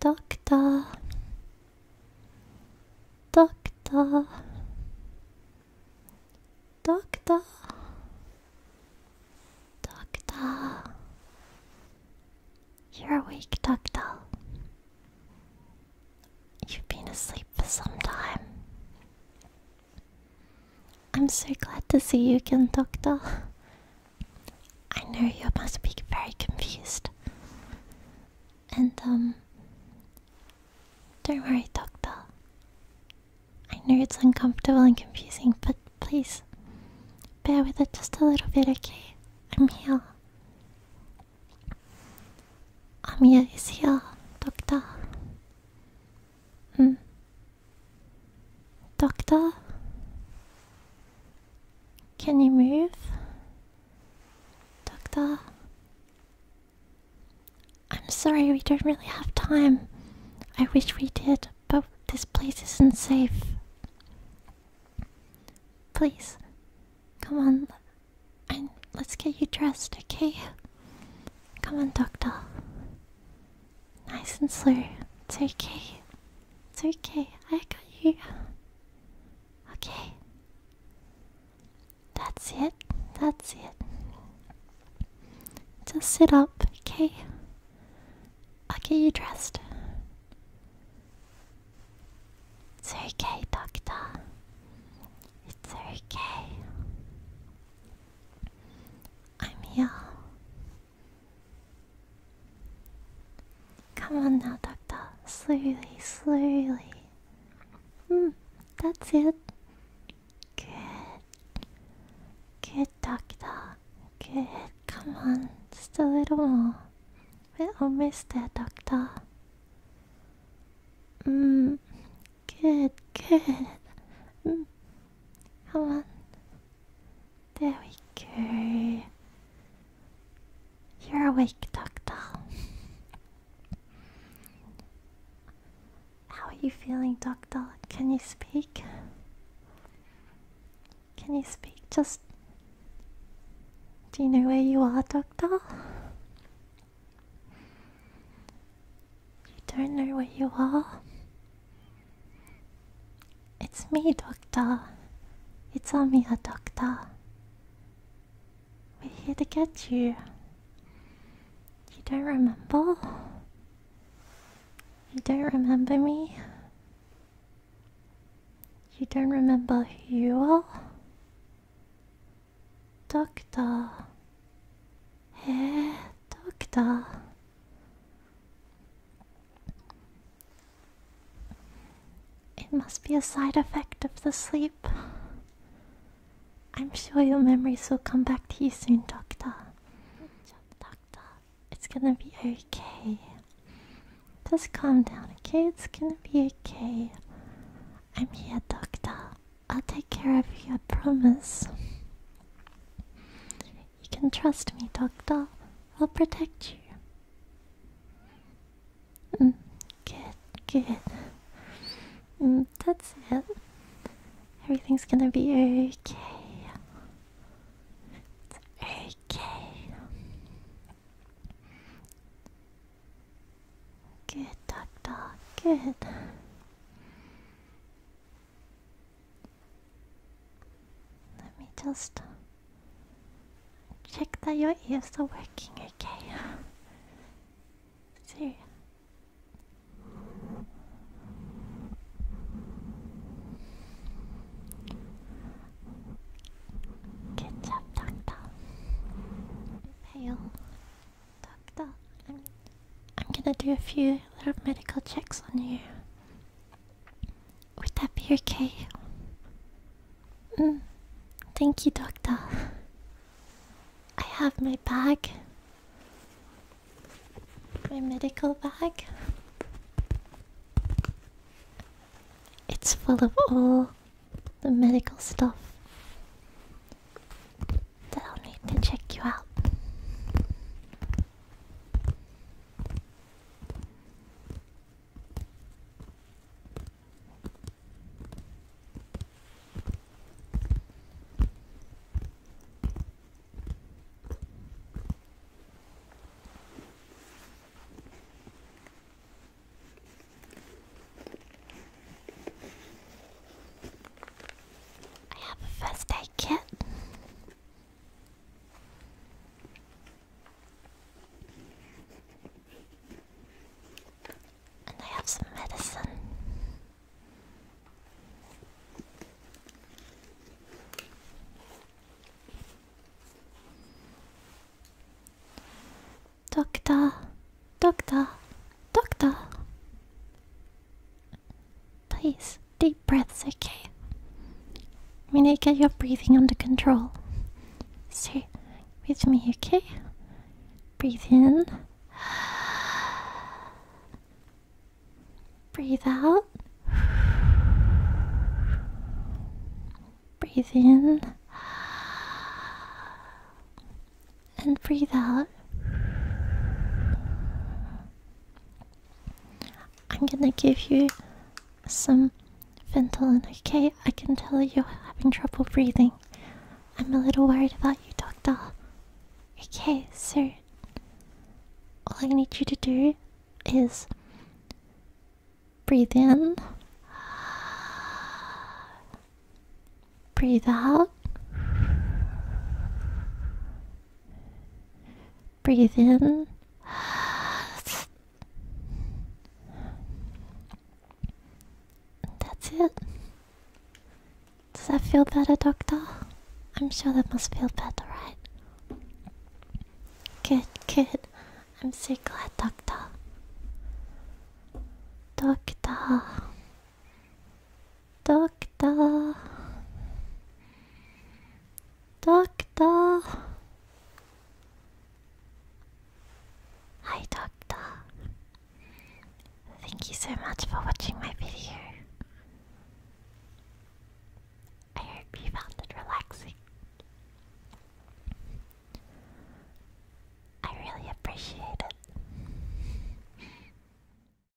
Doctor, doctor, doctor, doctor. You're awake, doctor. You've been asleep for some time. I'm so glad to see you again, doctor. I know you must be very confused. And, um, don't worry, Doctor. I know it's uncomfortable and confusing, but please bear with it just a little bit, okay? I'm here. Amia is here, Doctor. Hmm. Doctor? Can you move? Doctor? I'm sorry, we don't really have time. I wish we did, but this place isn't safe. Please, come on, and let's get you dressed, okay? Come on, Doctor. Nice and slow, it's okay. It's okay. I got you. Okay. That's it. That's it. Just sit up, okay? I'll get you dressed. It's okay, doctor. It's okay. I'm here. Come on now, Doctor. Slowly, slowly. Hmm, that's it. Good. Good, Doctor. Good. Come on, just a little more. We're almost there, Doctor. Mm, good, good. Mm, Come on. There we go. You're awake, Doctor. How are you feeling, Doctor? Can you speak? Can you speak? Just. Do you know where you are, Doctor? You don't know where you are? It's me, Doctor. It's Amiya, Doctor. We're here to get you. You don't remember? You don't remember me? You don't remember who you are? Doctor. Hey, Doctor. It must be a side effect of the sleep. I'm sure your memories will come back to you soon, Doctor. it's gonna be okay. Just calm down, okay? It's gonna be okay. I'm here, Doctor. I'll take care of you, I promise. You can trust me, Doctor. I'll protect you. Mm, good, good. Mm, that's it. Everything's gonna be okay. It's okay. Good, Doctor. Good. Let me just check that your ears are working okay. See. Good job, Doctor. Pale. Doctor, I'm, I'm gonna do a few little medical checks on you. Would that be okay? Mm. Thank you, Doctor. I have my bag, my medical bag. It's full of all the medical stuff that I'll need to check you out. I have a first aid kit. And I have some medicine. Doctor, doctor, doctor. Please, deep breaths, okay? We need to get your breathing under control. So, with me, okay? Breathe in. Breathe out. Breathe in. And breathe out. I'm gonna give you some Ventolin, okay? I can tell you're having trouble breathing. I'm a little worried about you, Doctor. Okay, so all I need you to do is breathe in, breathe out, Breathe in. That's it. Does that feel better, Doctor? I'm sure that must feel better, right? Good, good. I'm so glad, Doctor. Doctor. Doctor. Doctor. Hi, Doctor. Thank you so much for watching my video. I hope you found it relaxing. I really appreciate it.